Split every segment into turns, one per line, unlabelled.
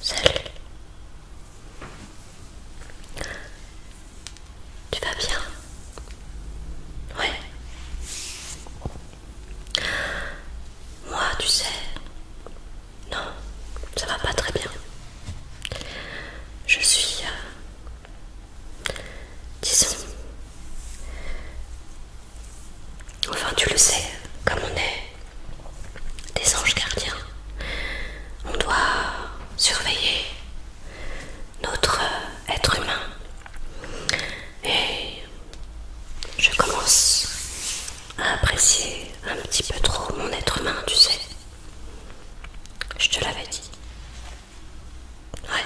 Salut. Tu vas bien Ouais. Moi, tu sais... Non, ça va pas très bien. Je suis... Euh, disons... Enfin, tu le sais, comme on est des anges gardiens. On doit surveiller notre être humain. Et je commence à apprécier un petit peu trop mon être humain, tu sais. Je te l'avais dit. Ouais.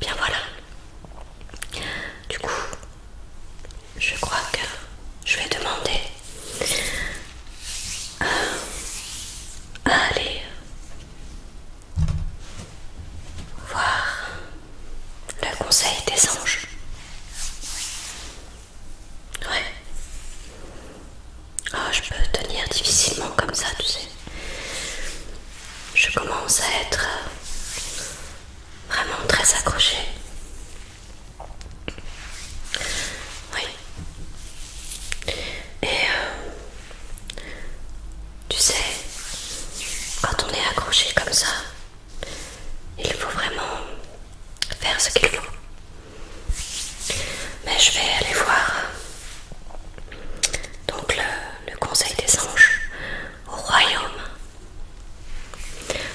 Bien voilà. Du coup, je crois que je vais demander euh, à, aller voir le conseil des anges. Ouais. Ah, je peux tenir difficilement comme ça, tu sais. Je commence à être vraiment très accroché. Oui. Et euh, tu sais, quand on est accroché comme ça, il faut vraiment faire ce qu'il faut. Mais je vais aller voir euh, donc le conseil des anges au royaume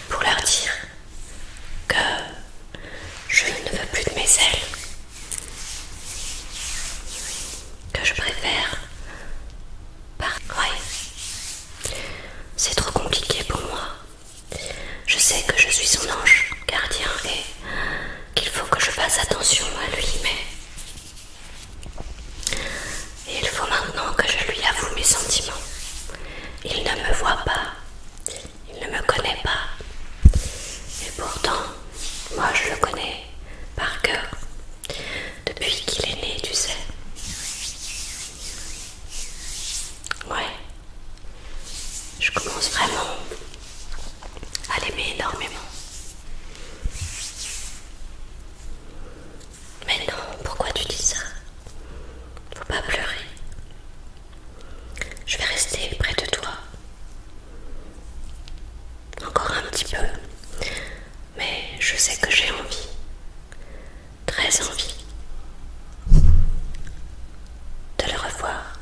pour leur dire que je ne veux plus de mes ailes, que je préfère partir. Ouais. C'est trop compliqué pour moi. Je sais que je suis son ange gardien et qu'il faut que je fasse attention à lui, mais et il faut maintenant que je lui avoue mes sentiments. Il ne me voit pas, il ne me connaît pas. Et pourtant, moi je le connais par cœur. Depuis qu'il est né, tu sais. Ouais. Je commence vraiment à l'aimer énormément. Mais non, pourquoi tu dis ça Faut pas pleurer. Je vais rester près de toi. Encore un petit peu. Mais je sais que j'ai envie. Très envie. De le revoir.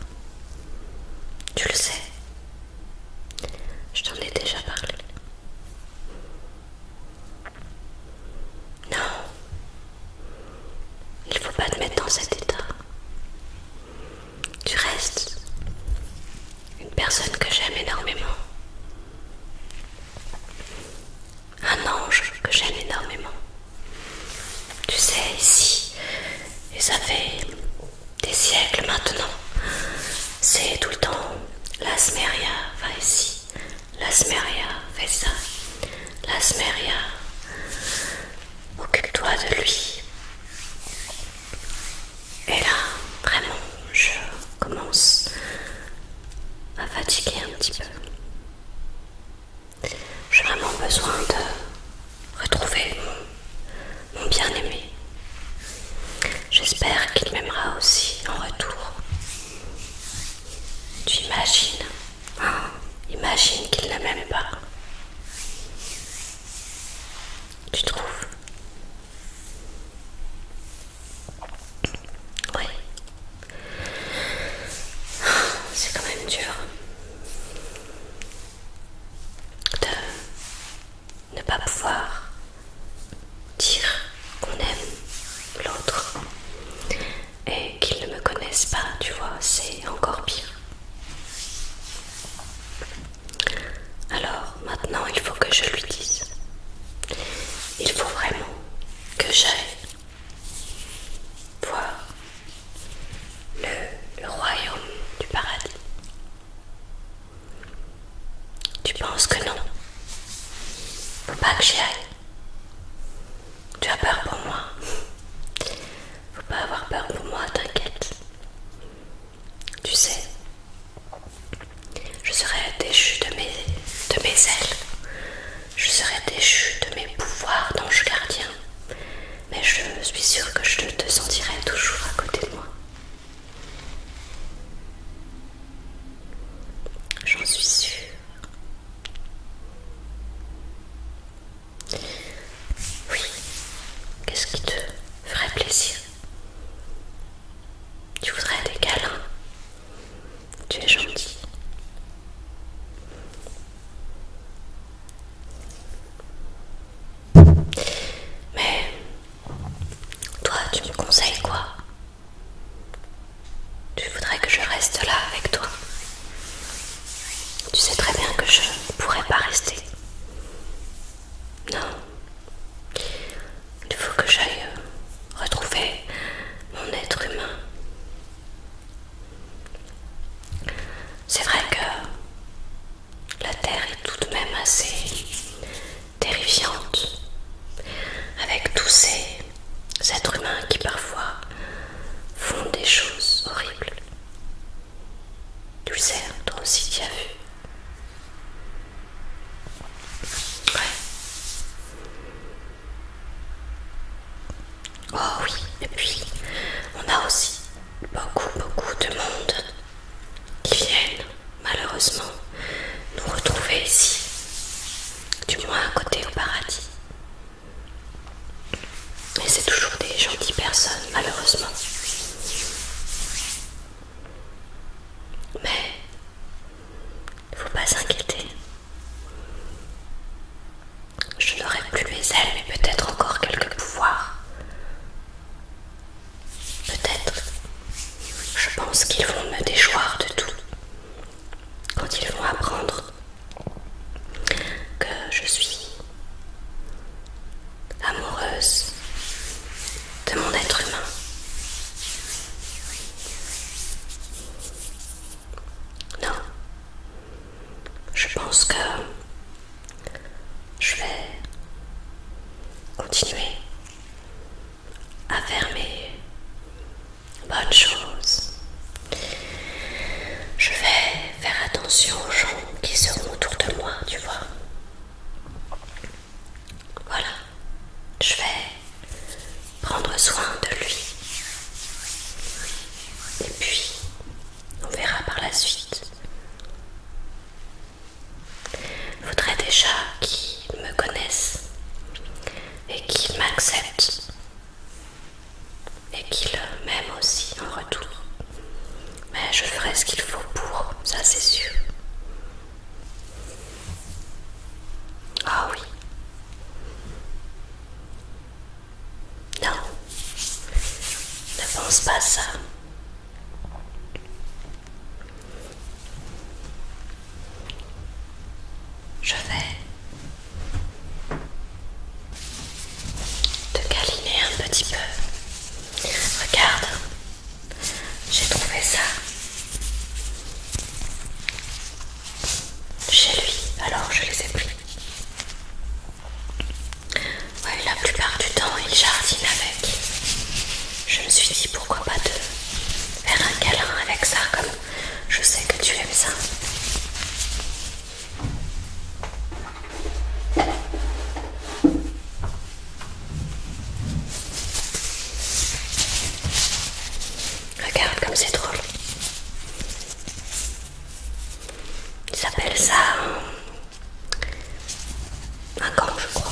Tu le sais. Je t'en ai déjà parlé. Non, il ne faut pas te mettre dans cet état. Tu restes une personne que j'aime énormément. Un ange que j'aime énormément. Tu sais, ici, et ça fait des siècles maintenant. C'est tout le temps l'asmeria, va ici, l'asmeria, fais ça, l'asmeria, occupe-toi de lui. Et là, vraiment, je commence à fatiguer un petit peu. J'ai vraiment besoin de retrouver mon mon bien-aimé. J'espère qu'il m'aimera aussi en retour. Tu imagines oh, Imagine qu'il ne m'aime pas. Tu trouves Oui. C'est quand même dur ne pas pouvoir dire qu'on aime l'autre et qu'il ne me connaisse pas, tu vois, c'est encore pire. Alors maintenant, il faut que je lui dise. Il faut vraiment que j'aille voir le, le royaume du paradis. Tu penses que non Faut pas que j'y aille. Tu as peur pour moi. Faut pas avoir peur pour moi, t'inquiète. Tu sais, je serai déchu de mes, de mes ailes. Je serai déchu de mes pouvoirs d'ange gardien. Mais je suis sûre que je te sentirai toujours à côté de moi. J'en suis sûre. Oui, qu'est-ce qui te ferait plaisir Tu voudrais des câlins Tu es gentil. Mais toi, tu me conseilles quoi Tu voudrais que je reste là avec toi Tu sais très bien que je ne pourrais pas rester. Non. Il faut que j'aille euh, retrouver mon être humain. C'est vrai que la Terre est tout de même assez terrifiante, avec tous ces êtres humains qui parfois font des choses horribles. Tu le sais, toi aussi tu as vu. Ouais. Oh oui, et puis on a aussi beaucoup, beaucoup de monde qui viennent malheureusement nous retrouver ici, du moins à côté au paradis. Mais c'est toujours des gentilles personnes, malheureusement. Mais faut pas s'inquiéter. Je n'aurai plus les ailes, mais peut-être encore quelques pouvoirs. Peut-être. Je pense qu'ils vont me déchoir de tout. Quand ils vont apprendre que je suis amoureuse de mon être humain. Non, je pense que je vais continuer à faire mes bonnes choses. Je vais faire attention aux gens qui seront autour de moi, tu vois. Voilà, je vais prendre soin de lui. Et puis, on verra par la suite. voudrais déjà qu'ils me connaissent et qu'ils m'acceptent et qu'ils m'aiment aussi en retour. Mais je ferai ce qu'il faut pour, ça c'est sûr. Ah oui. Non, ne pense pas à ça. Je vais te caliner un petit peu. Regarde, j'ai trouvé ça chez lui, alors je les ai pris. Oui, la plupart du temps, il jardine avec. Je me suis dit pourquoi pas de faire un câlin avec ça, comme je sais que tu aimes ça. Regarde comme c'est drôle. Ils s'appelle ça un, un gant, je crois.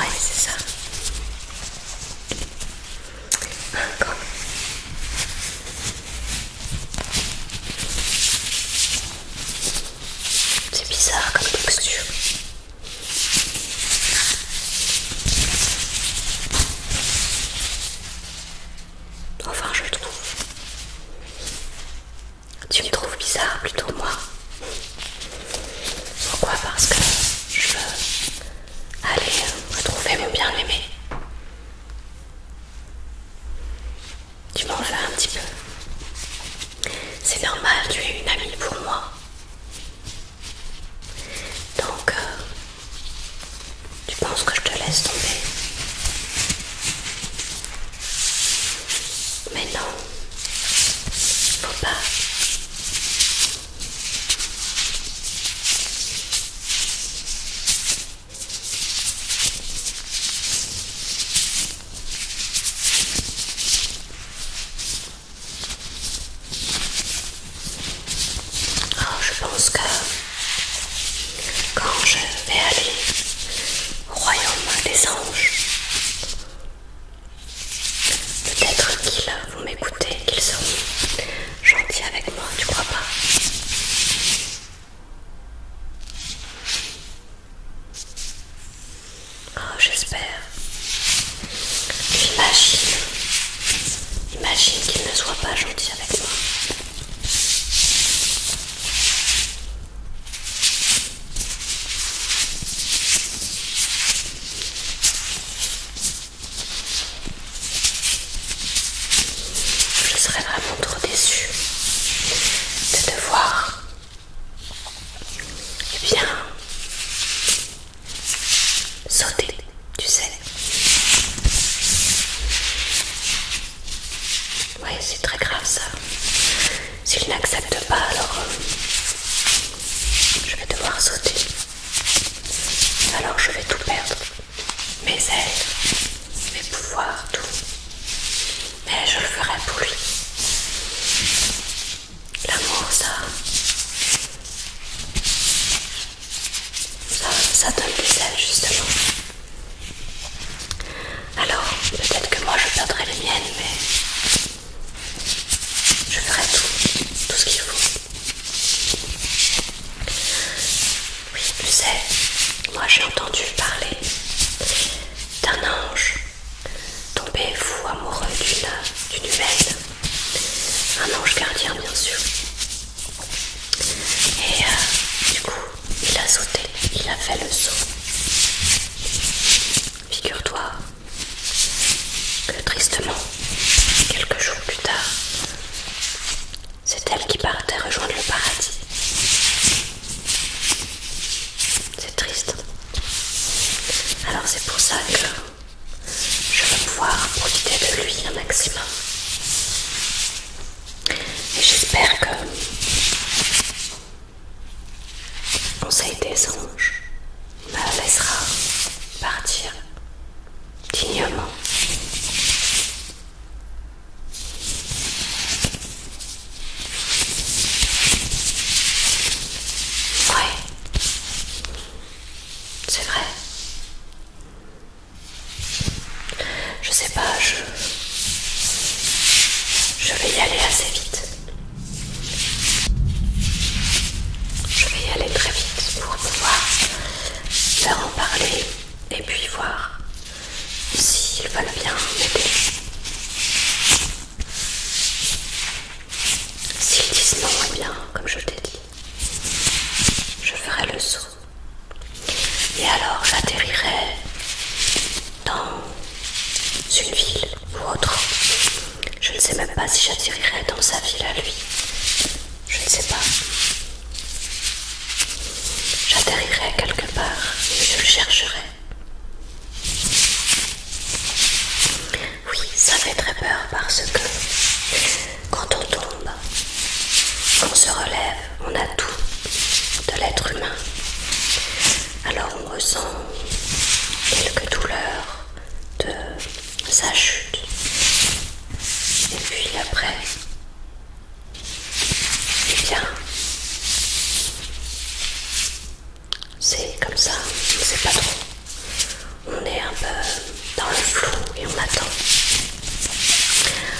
Ouais, c'est ça. Un gant. C'est bizarre comme texture. Enfin, je le trouve. Tu me trouves bizarre plutôt moi. Pourquoi Parce que je veux aller euh, retrouver mon bien-aimé. Tu m'en un petit peu. C'est normal, tu es une amie pour moi. Donc, euh, tu penses que je te laisse tomber Mais non, faut pas. Oh, je pense que quand je vais aller au royaume des anges, peut-être qu'ils vont m'écouter, qu'ils seront gentils avec moi, tu crois pas j'espère' oh, j'espère. J'imagine Imagine qu'il ne soit pas gentil avec moi. Je serais vraiment trop déçue de te voir. Eh bien, sauter, tu sais. Oui, c'est très grave ça. S'il n'accepte pas, alors euh, je vais devoir sauter. Alors je vais tout perdre. Mes ailes, mes pouvoirs, tout. Mais je le ferai pour lui. L'amour, ça. Ça, donne plus ailes justement. Alors, peut-être que moi je perdrai les miennes, mais je ferai tout, tout ce qu'il faut. Oui, tu sais, moi j'ai entendu parler d'un ange tombé fou amoureux d'une humaine un ange gardien bien sûr. Et euh, du coup, il a sauté, il a fait le saut. Figure-toi que tristement, quelques jours plus tard, c'est elle qui partait rejoindre le paradis. C'est triste. Alors c'est pour ça que je vais pouvoir profiter de lui un maximum. Et j'espère que le conseil des anges me laissera partir dignement. C'est vrai. Je sais pas, je... Je vais y aller assez vite. Je vais y aller très vite pour pouvoir leur en parler et puis voir s'ils veulent bien m'aider. S'ils disent non, eh bien, comme je t'ai dit, je ferai le saut. Et alors j'atterrirai dans une ville ou autre. Je ne sais même pas si j'atterrirai dans sa ville à lui. Je ne sais pas. J'atterrirai quelque part et je le chercherai. Oui, ça fait très peur parce que quand on tombe, qu'on se relève, on a tout de l'être humain. Alors on ressent quelques douleurs de sa chute. Et puis après, eh bien, c'est comme ça, c'est pas trop. On est un peu dans le flou et on attend.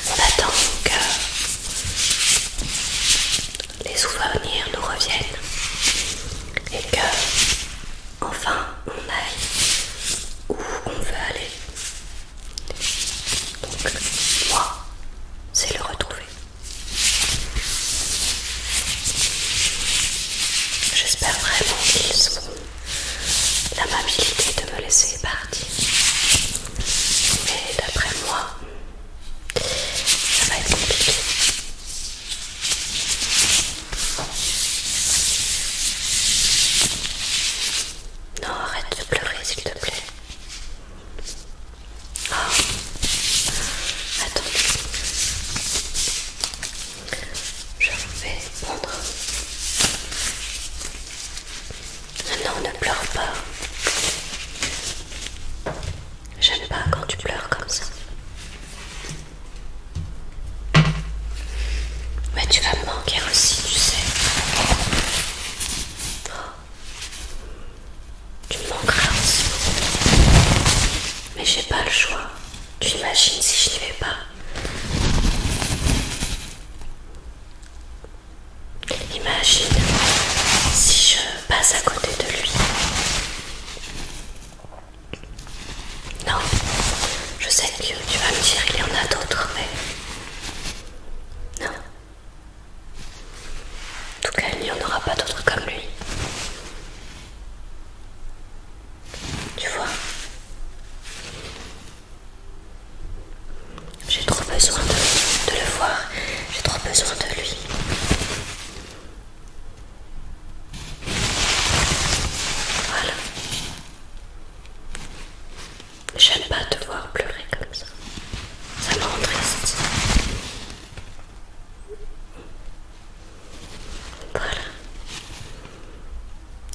On attend que les souvenirs nous reviennent et que enfin on aille où on veut aller. Donc moi, c'est le retrouver. J'espère vraiment qu'ils ont l'amabilité de me laisser partir. Mais d'après moi, ça va être compliqué. Non, arrête de pleurer s'il te plaît. Ah. Attends. Je vais prendre. Non, ne pleure pas. J'aime pas quand tu pleures comme ça. Mais tu vas me manquer aussi, tu sais. Tu me manqueras aussi. Mais j'ai pas le choix. Tu imagines si je n'y vais pas. Imagine si je passe à côté de lui. Non, je sais que tu vas me dire qu'il y en a d'autres, mais... Non. En tout cas, il n'y en aura pas d'autres comme lui. Tu vois J'ai trop besoin de, le voir. J'ai trop besoin de lui. Voilà. J'aime pas te voir pleurer comme ça. Ça me rend triste. Voilà.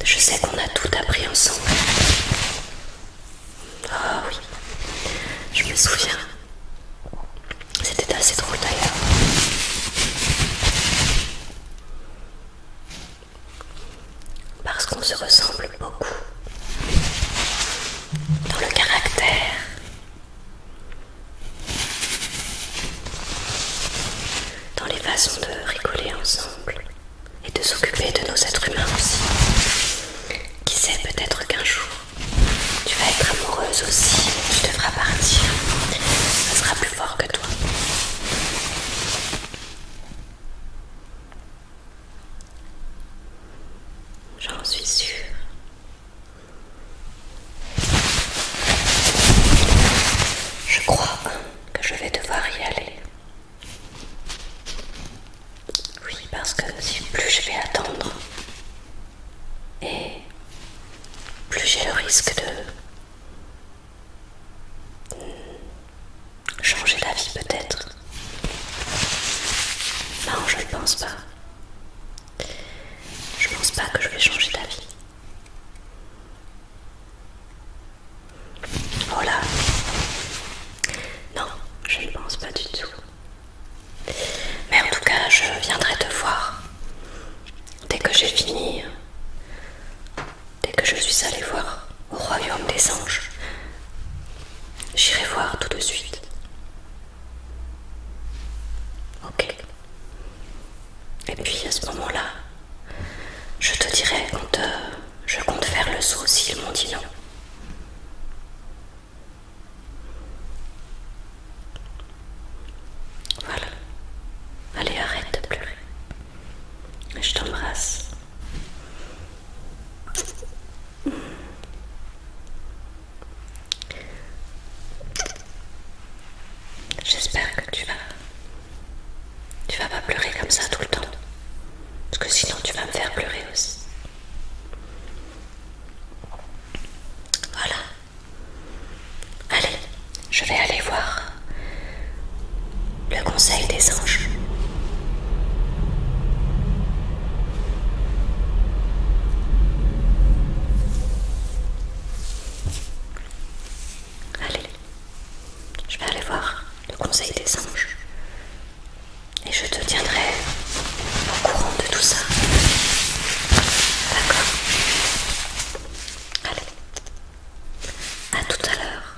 Je sais qu'on a tout appris ensemble. Ah oui, je me souviens. C'était assez drôle d'ailleurs. Parce qu'on se ressemble beaucoup. Dans le caractère, dans les façons de rigoler ensemble et de s'occuper de nos êtres humains aussi. Qui sait peut-être qu'un jour tu vas être amoureuse aussi, tu devras partir, ça sera plus fort que toi. J'en suis sûre. Je crois que je vais devoir y aller. Oui, parce que plus je vais attendre, et plus j'ai le risque de changer d'avis peut-être. Non, je ne pense pas. Je pense pas que je vais changer d'avis. Oh Non, je ne pense pas du tout. Mais en tout cas, je viendrai te voir. Dès que j'ai fini, dès que je suis allée voir au royaume des anges, j'irai voir tout de suite. Ok. Et puis à ce moment-là, je te dirai quand je compte faire le saut s'ils m'ont dit non. Voilà. Allez, arrête de pleurer. Je t'embrasse. J'espère que tu vas... Tu vas pas pleurer comme ça tout le temps. Parce que sinon tu vas me faire pleurer aussi. Voilà. Allez, je vais aller voir le conseil des anges. Allez, je vais aller voir le conseil des anges et je te tiendrai au courant de tout ça. D'accord Allez, à tout à l'heure.